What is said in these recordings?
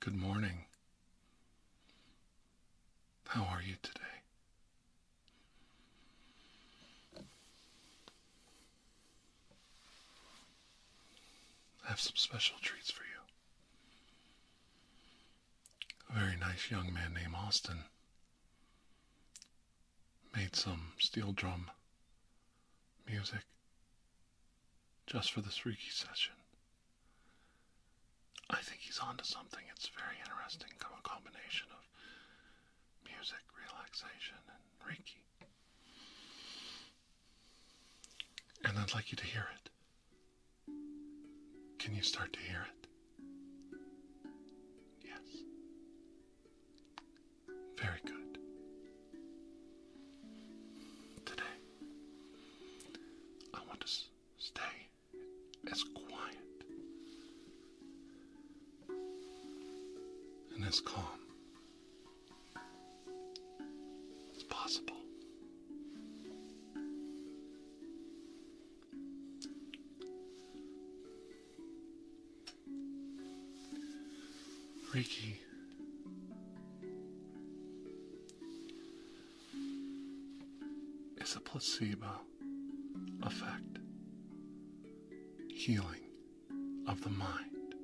Good morning. How are you today? I have some special treats for you a very nice young man named Austin made some steel drum music just for this Reiki session. I think he's onto something. It's very interesting, combination of music, relaxation, and Reiki. And I'd like you to hear it. Can you start to hear it? Yes. Very good. Today, I want to stay as quiet and as calm as possible. Reiki. Is a placebo effect healing of the mind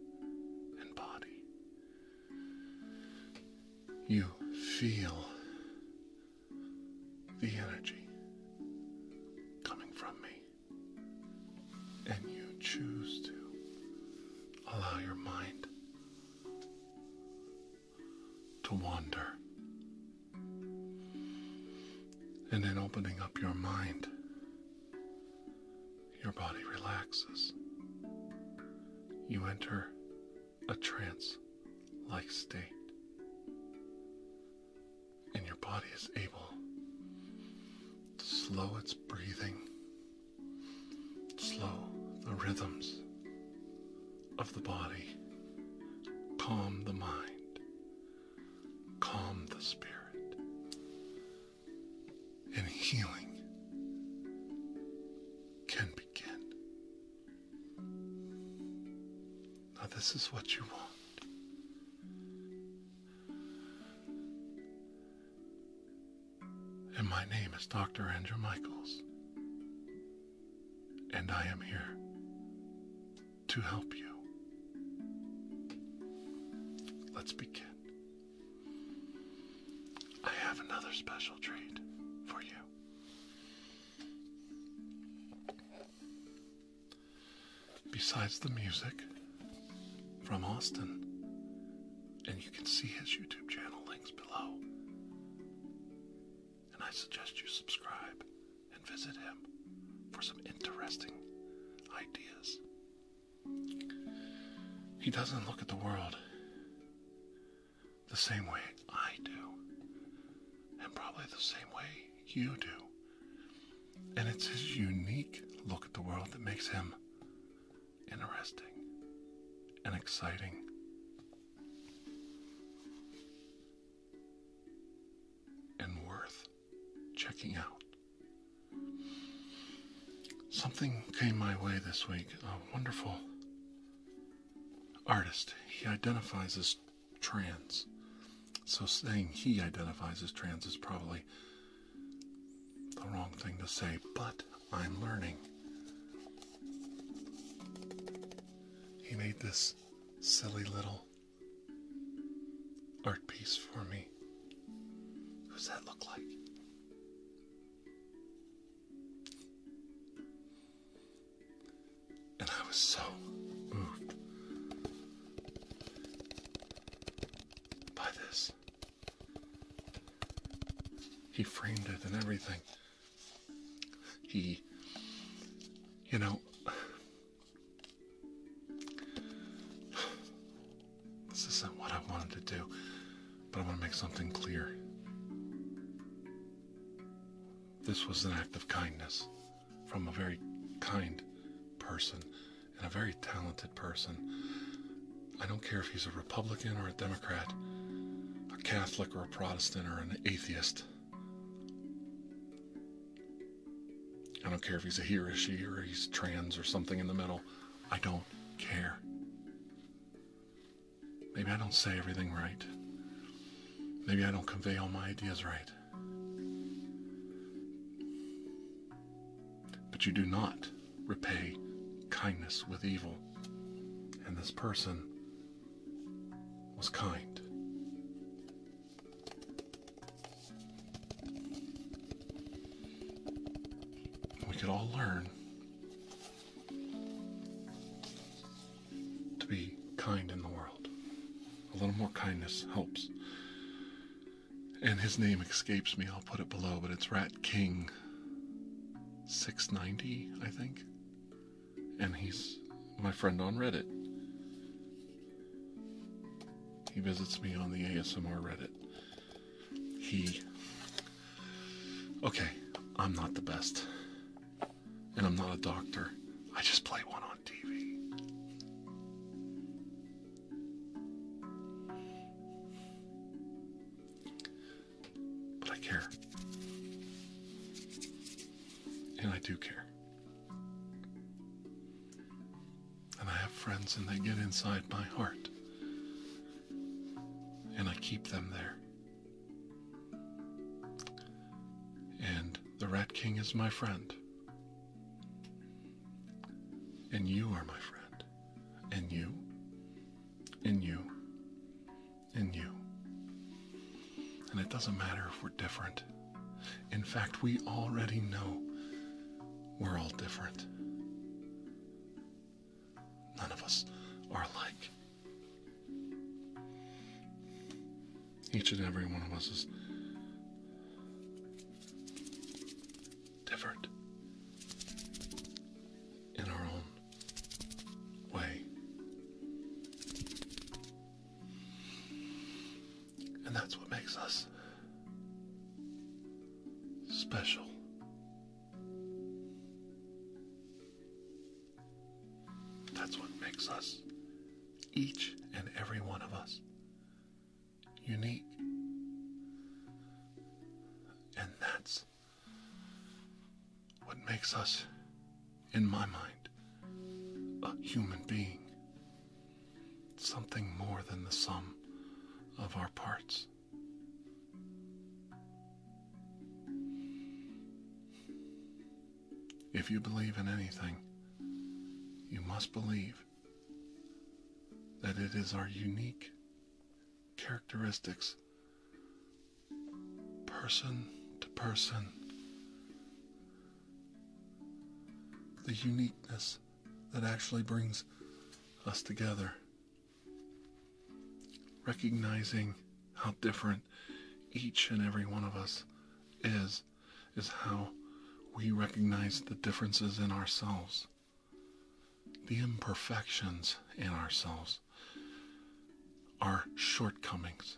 and body you feel the energy coming from me, and you choose to allow your mind to wander. And in opening up your mind, your body relaxes. You enter a trance like state, and your body is able to slow its breathing, slow the rhythms of the body, calm the mind, calm the spirit, and healing can begin. Now, this is what you want. And my name is Dr. Andrew Michaels. And I am here to help you. Let's begin. I have another special treat for you. Besides the music from Austin, and you can see his YouTube channel links below. And I suggest you subscribe and visit him for some interesting ideas. He doesn't look at the world the same way I do, and probably the same way you do. And it's his unique look at the world that makes him interesting and exciting. And worth checking out. Something came my way this week, a wonderful artist. He identifies as trans. So saying he identifies as trans is probably the wrong thing to say, but I'm learning. He made this silly little art piece for me. Who's that look like? And I was so moved by this. He framed it and everything. He, you know, this isn't what I wanted to do but I want to make something clear. This was an act of kindness from a very kind person and a very talented person. I don't care if he's a Republican or a Democrat, a Catholic or a Protestant or an atheist. I don't care if he's a he or she or he's trans or something in the middle. I don't care. Maybe I don't say everything right. Maybe I don't convey all my ideas right. But you do not repay kindness with evil. And this person was kind. We could all learn to be kind in the world. A little more kindness helps. And his name escapes me, I'll put it below, but it's Rat King 690, I think. And he's my friend on Reddit. He visits me on the ASMR Reddit. He Okay, I'm not the best. And I'm not a doctor. I just play one on TV. But I care. And I do care. And I have friends and they get inside my heart and I keep them there. And the Rat King is my friend. And you are my friend. And you. And you. And you. And it doesn't matter if we're different. In fact, we already know we're all different. None of us are alike. Each and every one of us is different in our own way. And that's what makes us special. That's what makes us, each and every one of us, unique. And that's what makes us, in my mind, a human being. Something more than the sum of our parts. If you believe in anything, you must believe that it is our unique characteristics, person to person, the uniqueness that actually brings us together Recognizing how different each and every one of us is, is how we recognize the differences in ourselves, the imperfections in ourselves, our shortcomings,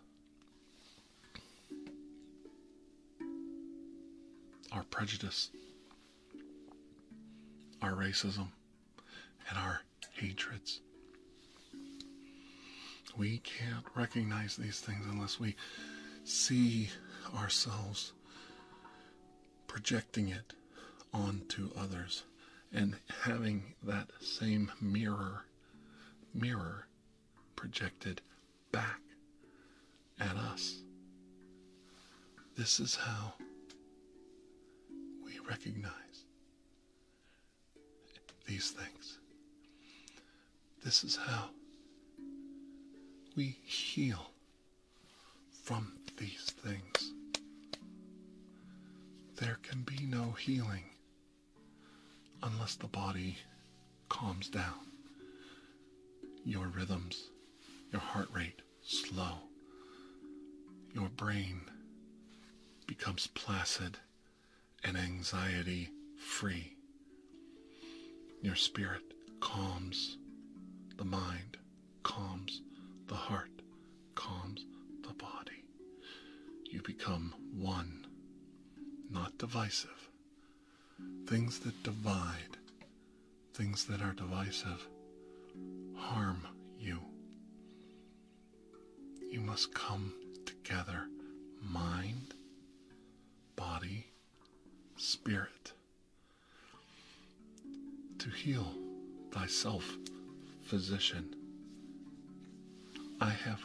our prejudice, our racism, and our hatreds. We can't recognize these things unless we see ourselves projecting it onto others and having that same mirror mirror projected back at us. This is how we recognize these things. This is how we heal from these things. There can be no healing unless the body calms down. Your rhythms, your heart rate, slow. Your brain becomes placid and anxiety free. Your spirit calms the mind, calms the heart, calms the body. You become one, not divisive. Things that divide, things that are divisive, harm you. You must come together mind, body, spirit to heal thyself, physician. I have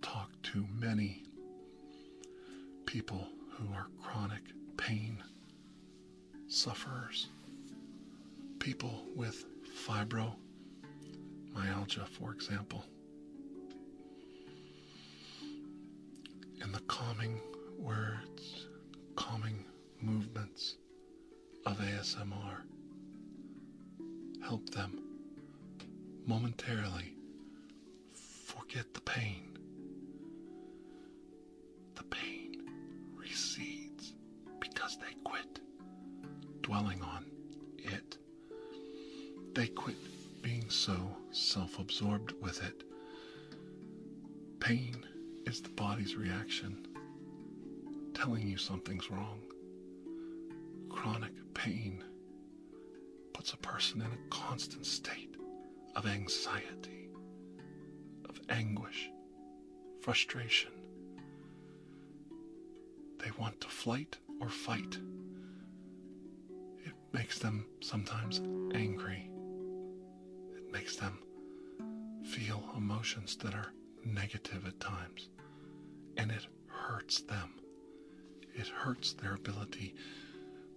talked to many people who are chronic pain sufferers, people with fibromyalgia, for example. And the calming words, calming movements of ASMR help them momentarily forget the pain the pain recedes because they quit dwelling on it. They quit being so self absorbed with it. Pain is the body's reaction telling you something's wrong. Chronic pain puts a person in a constant state of anxiety, of anguish frustration. They want to flight or fight. It makes them sometimes angry. It makes them feel emotions that are negative at times. And it hurts them. It hurts their ability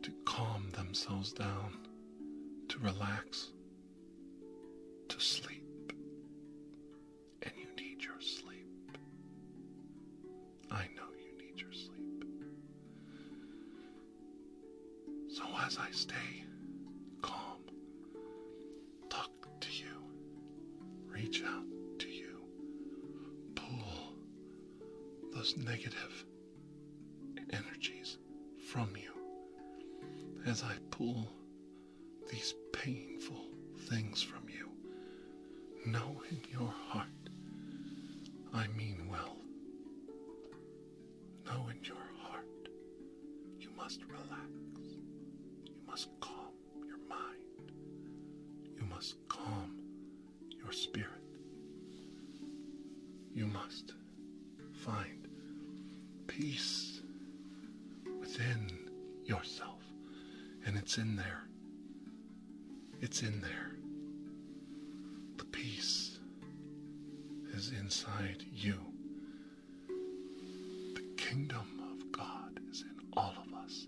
to calm themselves down, to relax, to sleep, and you need your sleep. I know you need your sleep. So, as I stay calm, talk to you, reach out to you, pull those negative energies from you as I pull these painful things from you. Know in your heart I mean well. Know in your heart you must relax. You must calm your mind. You must calm your spirit. You must find peace within yourself. And it's in there. It's in there. The peace is inside you. The kingdom of God is in all of us,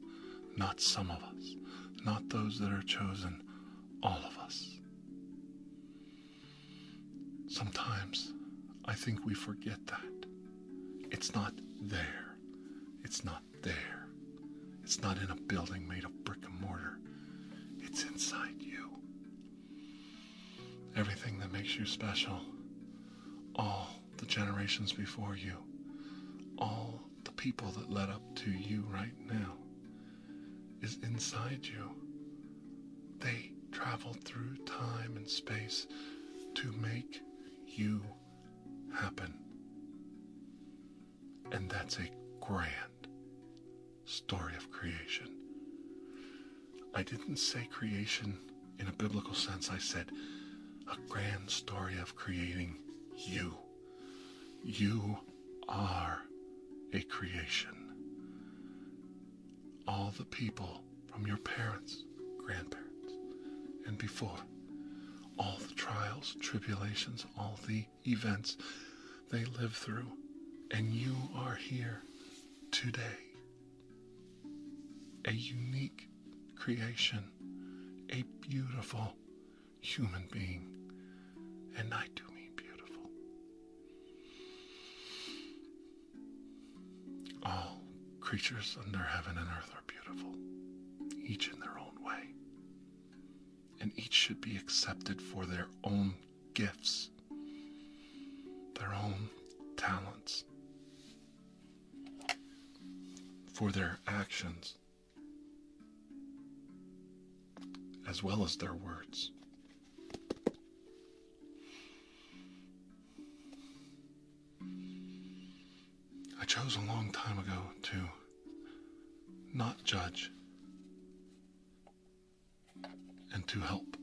not some of us, not those that are chosen, all of us. Sometimes I think we forget that. It's not there. It's not there. It's not in a building made of brick and mortar. It's inside you. Everything that makes you special, all the generations before you, all the people that led up to you right now, is inside you. They travel through time and space to make you happen. And that's a grand story of creation. I didn't say creation in a biblical sense, I said a grand story of creating you. You are a creation all the people from your parents, grandparents, and before, all the trials, tribulations, all the events they lived through, and you are here today. A unique creation, a beautiful human being, and I do mean beautiful. All creatures under heaven and earth are beautiful, each in their own way, and each should be accepted for their own gifts, their own talents, for their actions, as well as their words. I chose a long time ago to not judge and to help.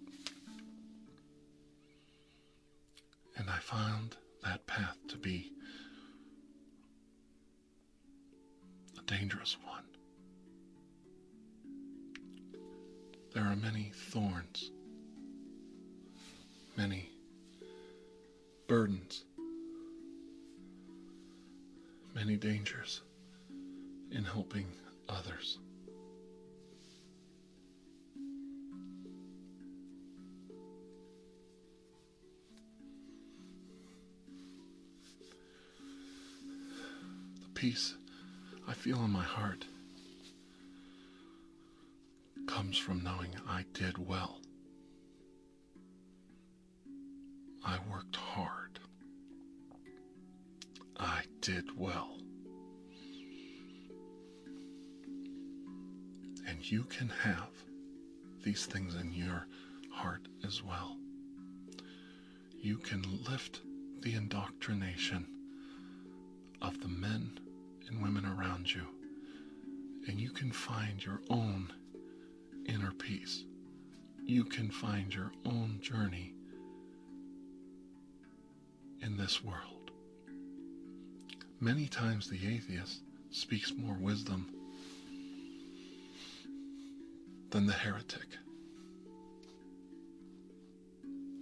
And I found that path to be a dangerous one. There are many thorns, many burdens, many dangers in helping others the peace I feel in my heart comes from knowing I did well. I worked hard. I did well. And you can have these things in your heart as well you can lift the indoctrination of the men and women around you, and you can find your own inner peace. You can find your own journey in this world. Many times the atheist speaks more wisdom than the heretic.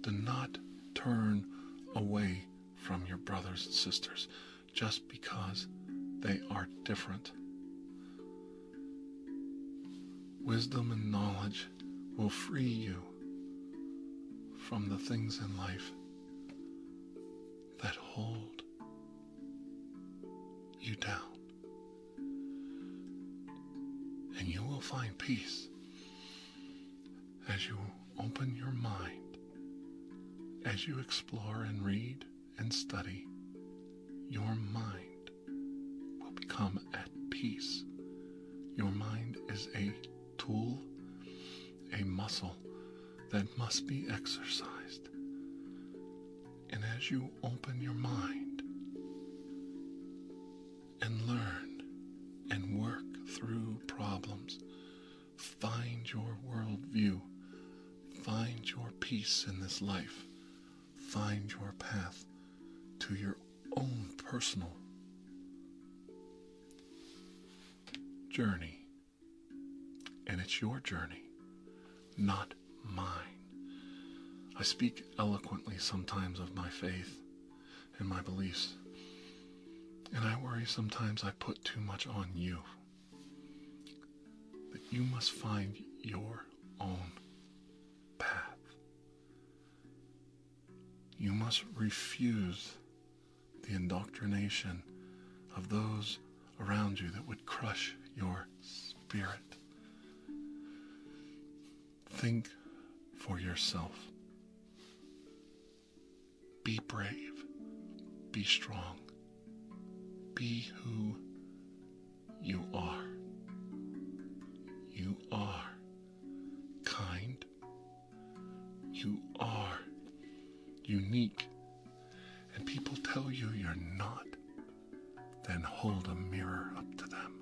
Do not turn away from your brothers and sisters just because they are different. Wisdom and knowledge will free you from the things in life that hold you down. And you will find peace as you open your mind, as you explore and read and study, your mind will become at peace. Your mind is a tool, a muscle that must be exercised. And as you open your mind, and learn and work through problems. Find your world view. Find your peace in this life. Find your path to your own personal journey. And it's your journey, not mine. I speak eloquently sometimes of my faith and my beliefs, and I worry sometimes I put too much on you. That you must find your own path. You must refuse the indoctrination of those around you that would crush your spirit. Think for yourself. Be brave. Be strong. Be who you are. You are kind. You are unique. And people tell you you're not then hold a mirror up to them.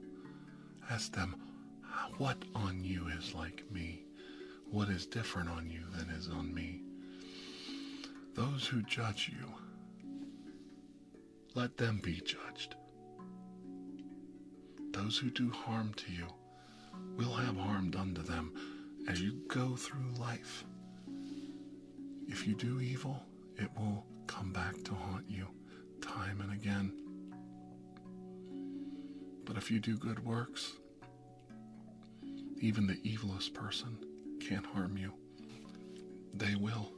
Ask them, What on you is like me? What is different on you than is on me? Those who judge you, let them be judged. Those who do harm to you will have harm done to them as you go through life. If you do evil, it will come back to haunt you time and again. But if you do good works, even the evilest person can't harm you. They will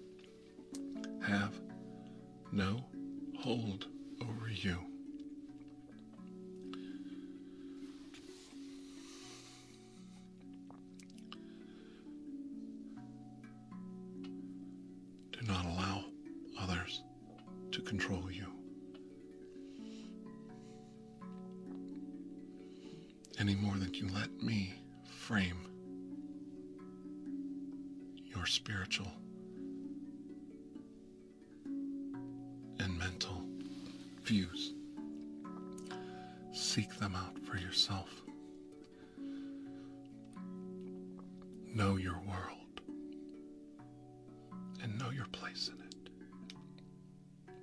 have no hold over you. Do not allow others to control you. Any more than you let me frame your spiritual and mental views. Seek them out for yourself Know your world and know your place in it.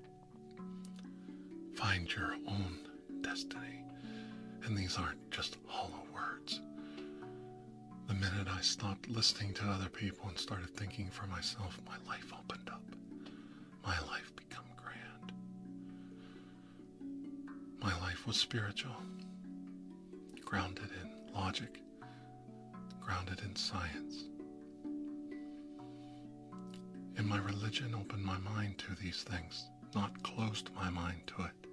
Find your own destiny. And these aren't just hollow words. The minute I stopped listening to other people and started thinking for myself, my life opened up. My life became grand. My life was spiritual, grounded in logic, grounded in science. And my religion opened my mind to these things, not closed my mind to it.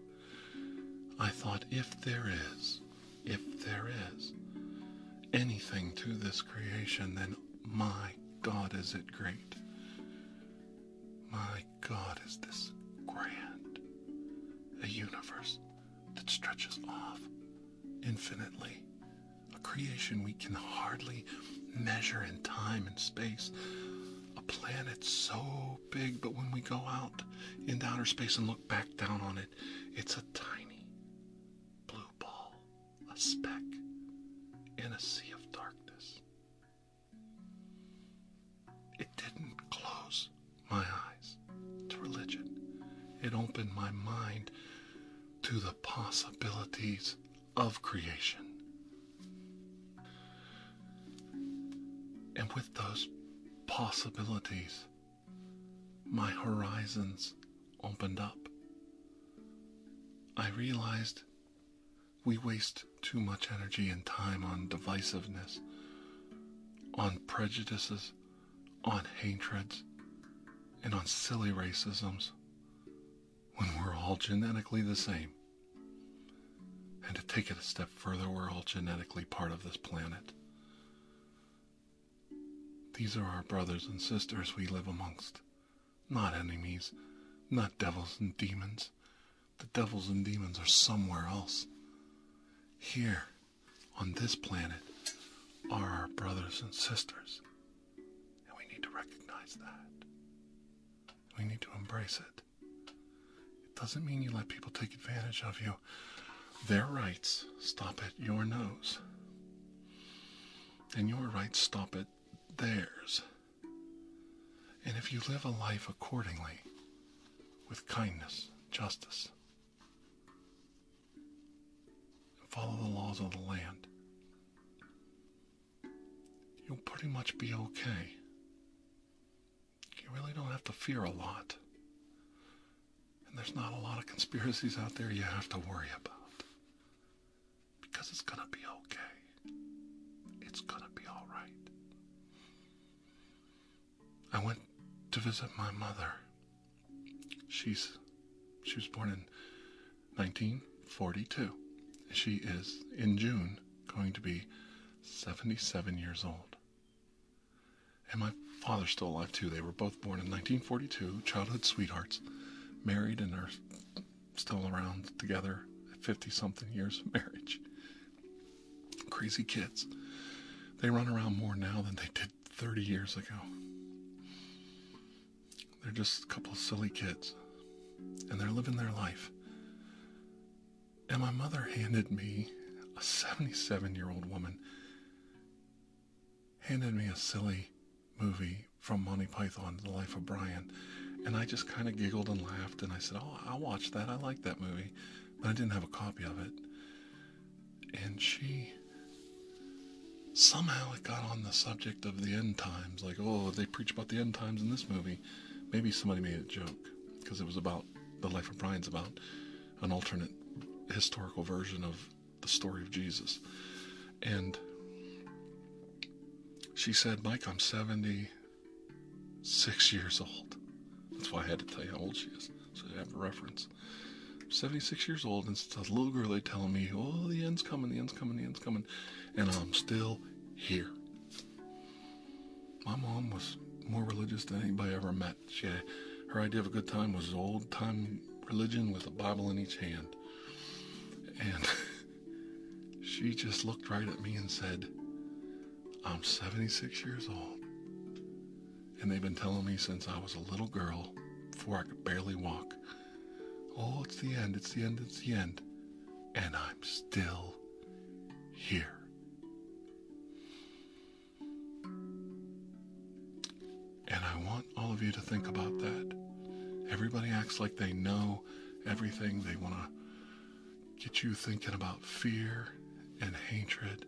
I thought if there is, if there is anything to this creation, then my God is it great. My God is this grand, a universe that stretches off infinitely, a creation we can hardly measure in time and space, a planet so big, but when we go out into outer space and look back down on it, it's a tiny blue ball, a speck in a sea of darkness. It didn't close my eyes to religion, it opened my mind to the possibilities of creation. And with those possibilities, my horizons opened up. I realized we waste too much energy and time on divisiveness, on prejudices, on hatreds, and on silly racisms when we're all genetically the same. And to take it a step further, we're all genetically part of this planet. These are our brothers and sisters we live amongst, not enemies, not devils and demons, the devils and demons are somewhere else. Here, on this planet, are our brothers and sisters. And we need to recognize that. We need to embrace it. It doesn't mean you let people take advantage of you. Their rights stop at your nose, and your rights stop at theirs. And if you live a life accordingly, with kindness, justice, and follow the laws of the land, you'll pretty much be okay. You really don't have to fear a lot. And there's not a lot of conspiracies out there you have to worry about. Because it's going to be okay. It's gonna be alright. I went to visit my mother. She's she was born in 1942. She is in June going to be 77 years old. And my father's still alive too. They were both born in 1942, childhood sweethearts, married and are still around together 50 something years of marriage. Crazy kids. They run around more now than they did 30 years ago. They're just a couple silly kids. And they're living their life. And my mother handed me a 77 year old woman, handed me a silly movie from Monty Python, The Life of Brian. And I just kind of giggled and laughed, and I said, Oh, I'll watch that. I like that movie. But I didn't have a copy of it. And she somehow it got on the subject of the end times. Like, oh, they preach about the end times in this movie. Maybe somebody made a joke because it was about the life of Brian's about an alternate historical version of the story of Jesus. And she said, Mike, I'm 70. Six years old. That's why I had to tell you how old she is, so you have a reference. 76 years old, and it's a little girl they are telling me, oh, the end's coming, the end's coming, the end's coming, and I'm still here. My mom was more religious than anybody ever met. She had, her idea of a good time was old time religion with a Bible in each hand. And she just looked right at me and said, I'm 76 years old, and they've been telling me since I was a little girl, before I could barely walk, oh, it's the end, it's the end, it's the end, and I'm still here. And I want all of you to think about that. Everybody acts like they know everything. They want to get you thinking about fear and hatred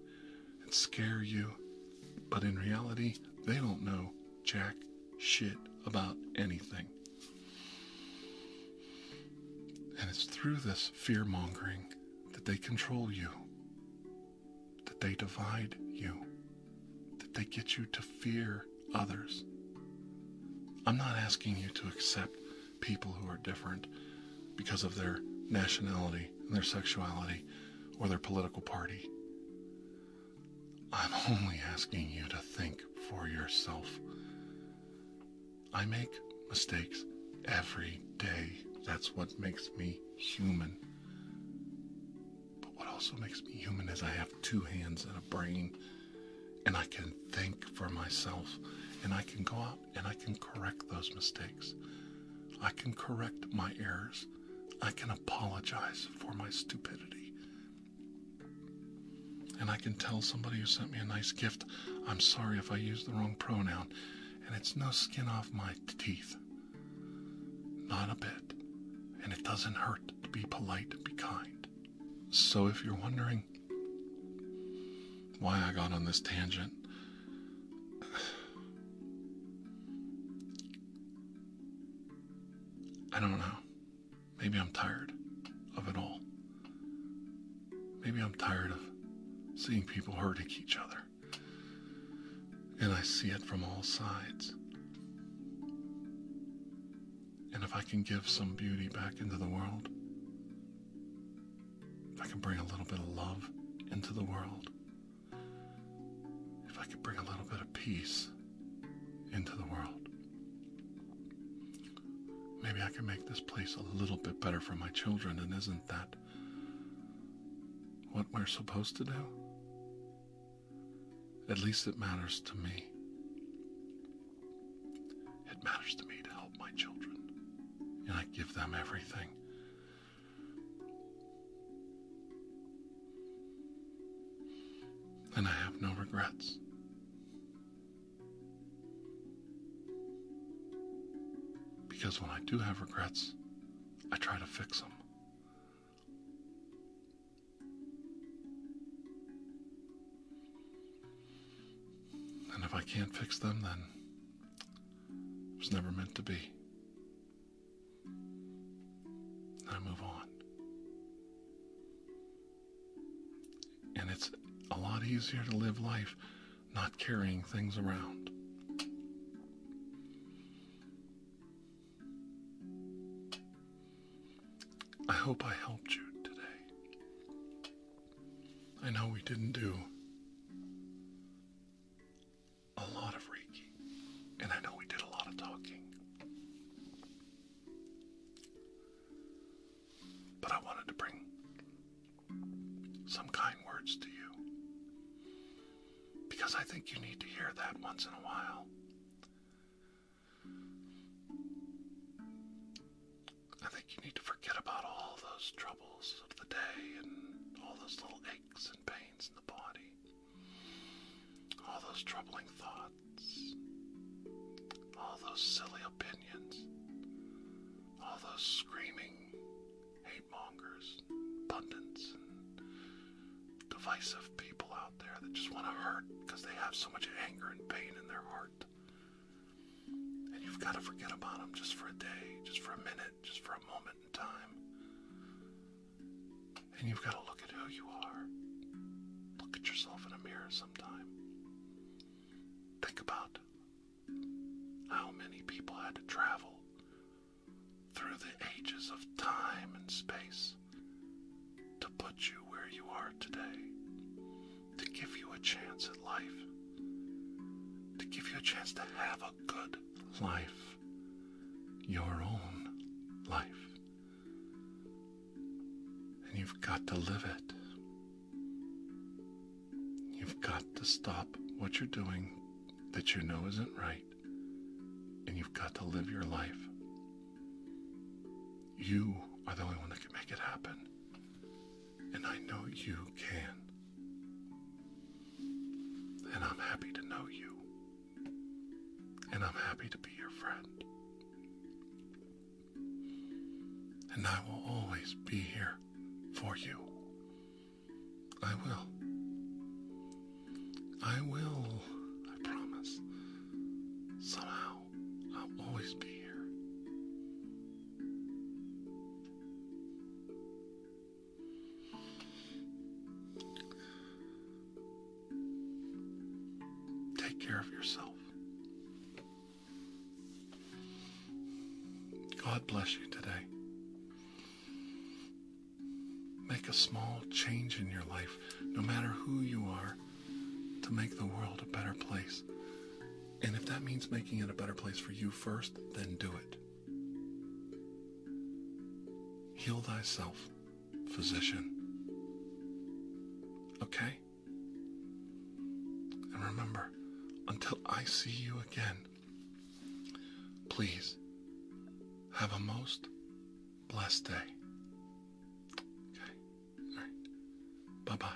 and scare you. But in reality, they don't know jack shit about anything. And it's through this fear mongering that they control you, that they divide you, that they get you to fear others. I'm not asking you to accept people who are different because of their nationality and their sexuality or their political party. I'm only asking you to think for yourself. I make mistakes every day. That's what makes me human. But what also makes me human is I have two hands and a brain and I can think for myself and I can go out and I can correct those mistakes. I can correct my errors. I can apologize for my stupidity. And I can tell somebody who sent me a nice gift, I'm sorry if I used the wrong pronoun. And it's no skin off my teeth. Not a bit. And it doesn't hurt to be polite, be kind. So if you're wondering, why I got on this tangent. I don't know. Maybe I'm tired of it all. Maybe I'm tired of seeing people hurting each other. And I see it from all sides. And if I can give some beauty back into the world, if I can bring a little bit of love into the world, if I can bring a little bit of peace into the world, maybe I can make this place a little bit better for my children. And isn't that what we're supposed to do? At least it matters to me. It matters to me to help my children, and I give them everything. And I have no regrets. Because when I do have regrets, I try to fix them. And if I can't fix them, then it was never meant to be. I move on. And it's a lot easier to live life not carrying things around. I hope I helped you today. I know we didn't do a lot of Reiki, and I know we did a lot of talking. But I wanted to bring some kind words to you because I think you need to hear that once in a while. I think you need to forget about all those troubles of the day and all those little aches and pains in the body, all those troubling thoughts, all those silly opinions, all those screaming hate mongers, pundits, and divisive people out there that just want to hurt because they have so much anger and pain in their heart. And you've got to forget about them just for a day, just for a minute, just for a moment in time. And you've got to look at who you are. Look at yourself in a mirror sometime. Think about how many people had to travel through the ages of time and space to put you where you are today, to give you a chance at life, to give you a chance to have a good life, your own life. And you've got to live it. You've got to stop what you're doing that you know isn't right, and you've got to live your life. You are the only one that can make it happen. And I know you can. And I'm happy to know you. And I'm happy to be your friend. And I will always be here for you. I will. I will, I promise. Somehow. I'll always be here. Take care of yourself. God bless you today. Make a small change in your life, no matter who you are, to make the world a better place. And if that means making it a better place for you first, then do it. Heal thyself, physician. Okay? And remember, until I see you again, please have a most blessed day. Okay? All right. Bye bye.